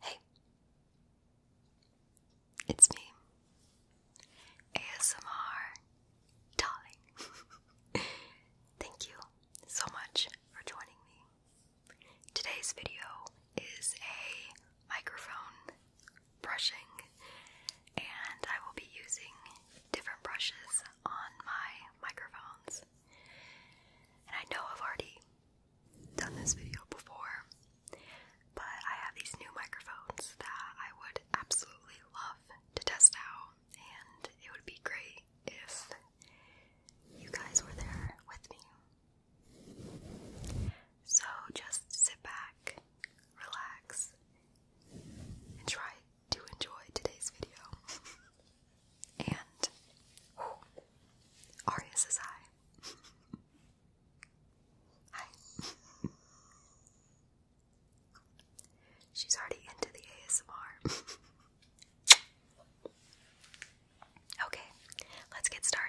Hey, it's me, ASMR Darling. Thank you so much for joining me. Today's video is a microphone brushing, and I will be using different brushes on my microphones. And I know I've already done this video before, but I have these new microphones that I would absolutely love to test out, and it would be great if you guys were there with me. So just sit back, relax, and try to enjoy today's video. and oh, is high. hi. She's already into the ASMR. okay, let's get started.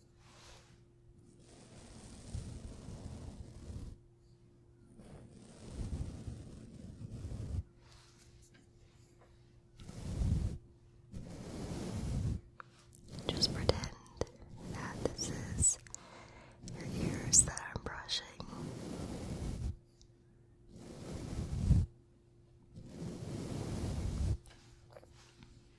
Just pretend that this is your ears that I'm brushing.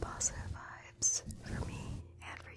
Positive vibes for me and for you.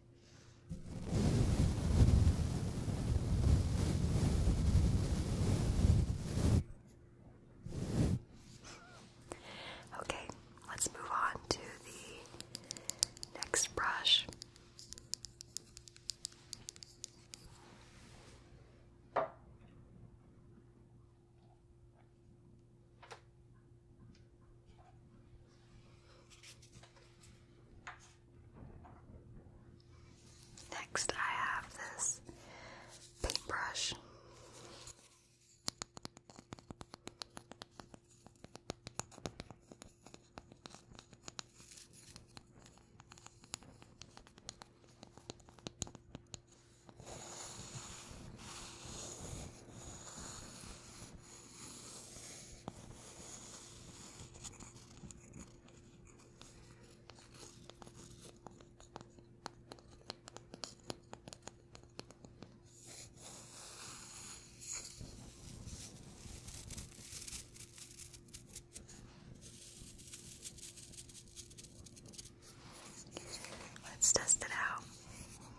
Okay, let's move on to the next brush. Next, I have this paintbrush. Let's test it out.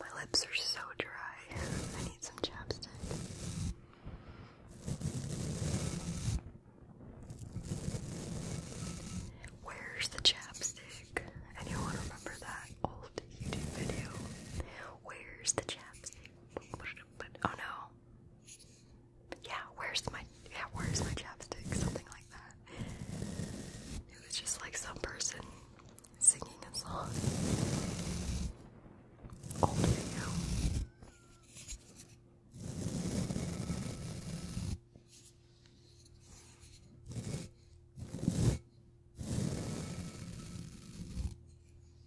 My lips are so dry. I need some chapstick. Where's the chapstick? Anyone remember that old YouTube video? Where's the chapstick? Oh no. Yeah, where's my yeah, where's my chapstick? Something like that. It was just like some person singing a song. Old video.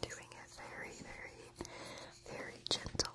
Doing it very, very, very gentle.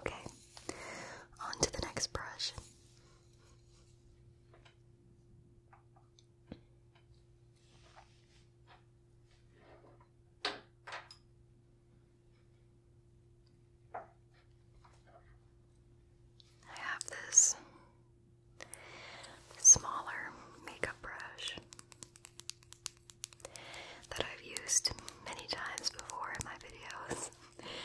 Okay, on to the next brush. I have this smaller makeup brush that I've used many times before in my videos.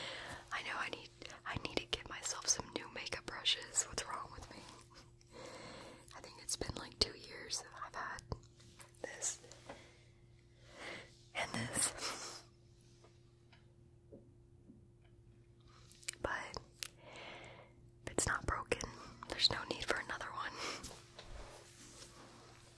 I know I need I need to get myself some new makeup brushes. What's wrong with me? I think it's been like two years that I've had this and this. But if it's not broken, there's no need for another one.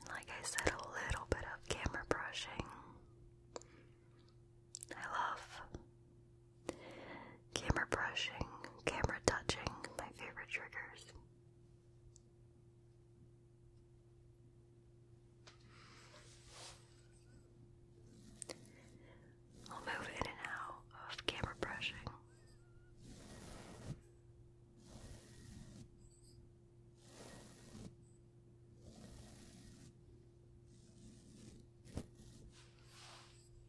And like I said, a little bit of camera brushing. I love camera brushing, camera touching, my favorite triggers. I'll move in and out of camera brushing.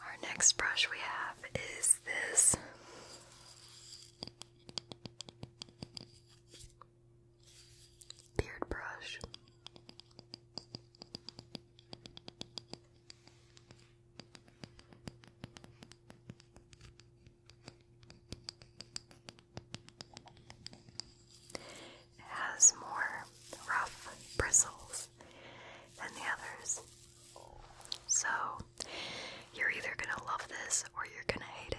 our next brush we have is this beard brush. It has more rough bristles than the others. So, you're either going to love this or you're going to hate it.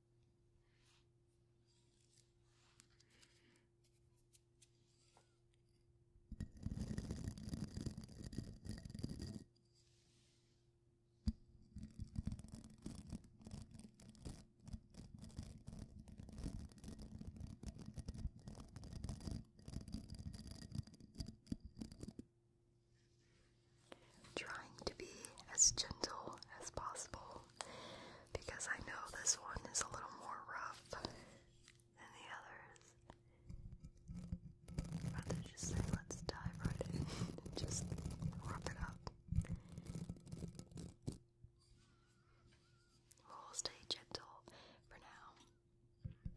Trying to be as gentle as possible because I know this one is a little more rough than the others. i just say, let's dive right in just rough it up. We'll stay gentle for now.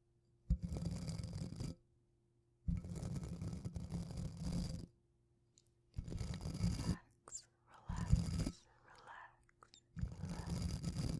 Relax, relax, relax, relax. Good.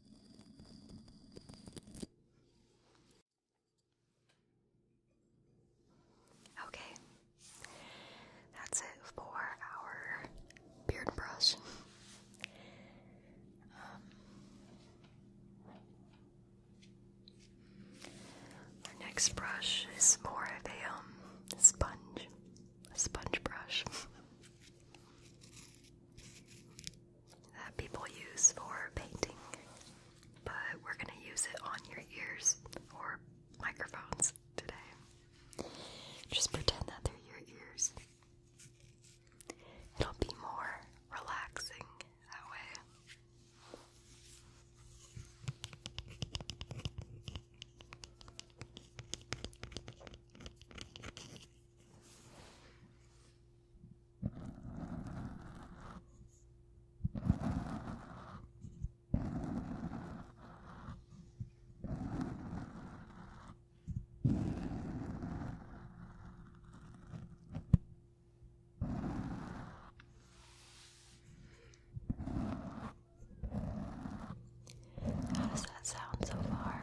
Okay, that's it for our beard brush. Um, our next brush is more of a um, sponge, a sponge brush. that people use for painting, but we're going to use it on your ears or microphones today. Just pretend that they're your ears. It'll be more relaxing that way. How does that sound so far?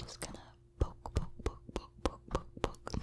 Just gonna poke, poke, poke, poke, poke, poke, poke.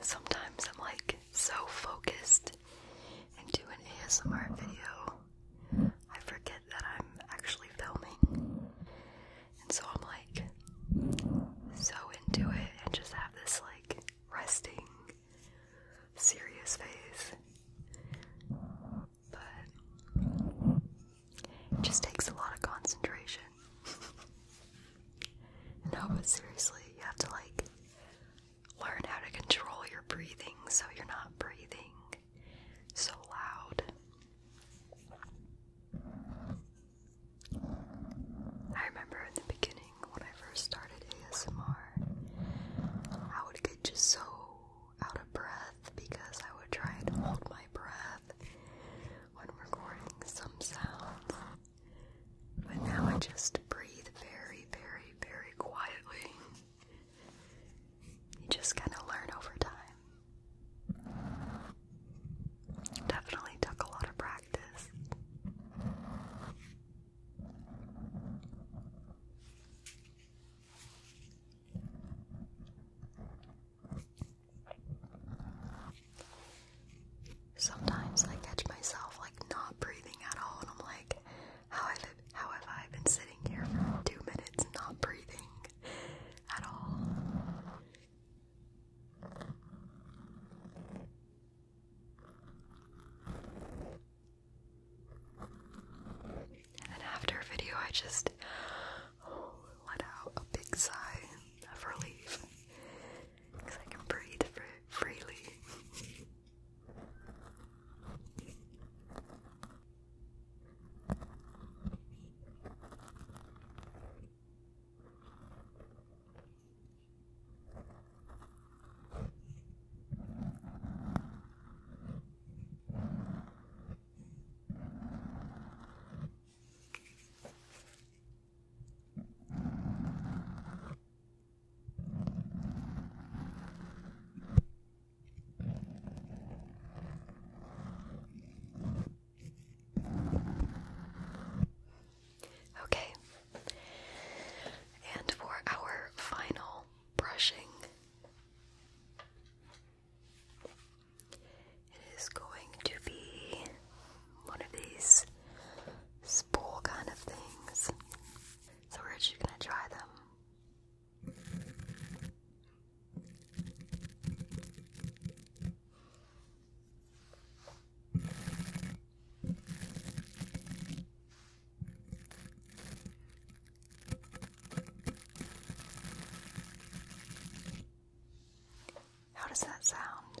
Sometimes I'm like so focused into an ASMR video, I forget that I'm actually filming. And so I'm like so into it and just have this like resting, serious face. But it just takes a lot of concentration. No, but seriously, you have to like learn how to control your breathing so you're not breathing so loud. I remember in the beginning when I first started ASMR, I would get just so out of breath because I would try and hold my breath when recording some sounds. But now I just breathe very, very, very quietly. You just kind of learn over time. Definitely took a lot of practice. Sometimes I catch myself like not breathing at all, and I'm like, how have I, been sitting here for two minutes not breathing at all? And then after a video, I just oh, let out a big sigh of relief because I can breathe freely. Okay, and for our final brushing, it is going to be one of these spool kind of things. So we're just gonna try them. How does that sound?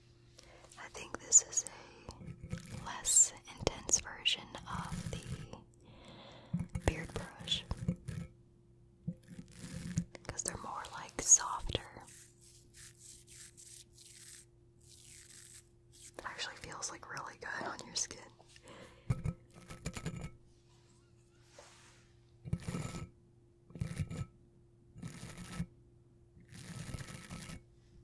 I think this is a less intense version of the beard brush because they're more like softer. It actually feels like really good on your skin.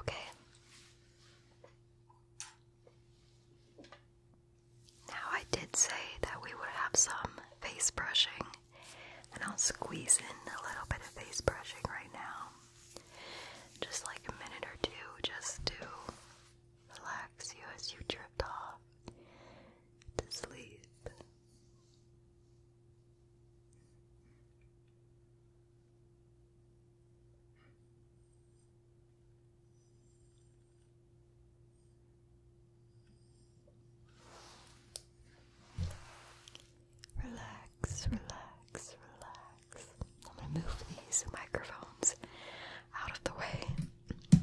Okay. Now, I did say that we would have some face brushing, and I'll squeeze in a little bit of face brushing right now. Just like a minute or two, just to relax you as you drift off to sleep. Relax, relax, relax. I'm going to move these microphones out of the way.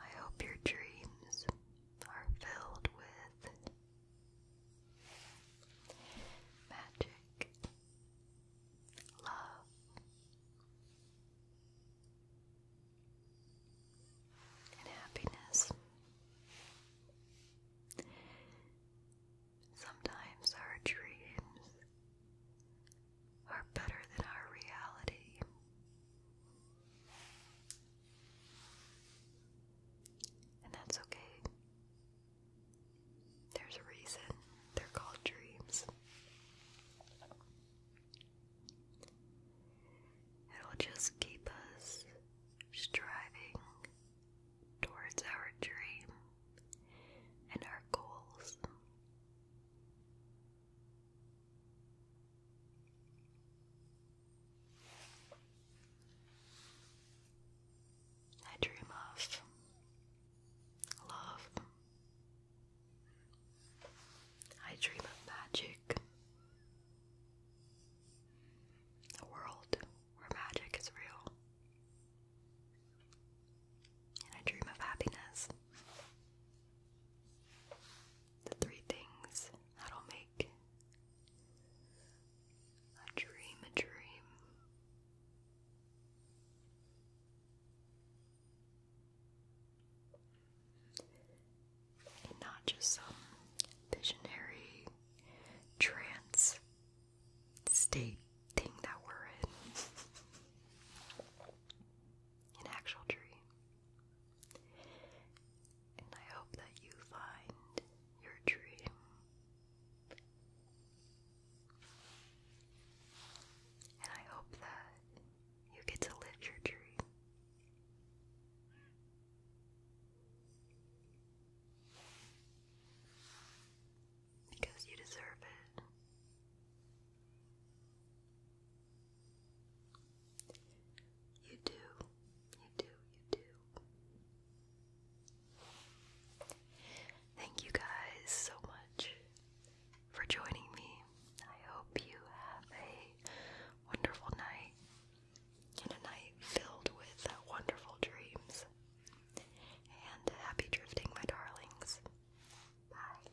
I hope your dreams are filled with magic, love, and happiness. Sometimes our dreams are better than our reality. And that's okay. There's a reason they're called dreams. It'll just keep us striving towards our dream and our goals. I dream of love. I dream of magic. A world where magic is real. And I dream of happiness the three things that'll make a dream a dream. And not just some visionary trance state thing that we're in. An actual dream. And I hope that you find your dream. And I hope that you get to live your dream. Because you deserve it. You do, you do, you do. Thank you guys so much for joining me. I hope you have a wonderful night and a night filled with wonderful dreams. And happy drifting, my darlings. Bye.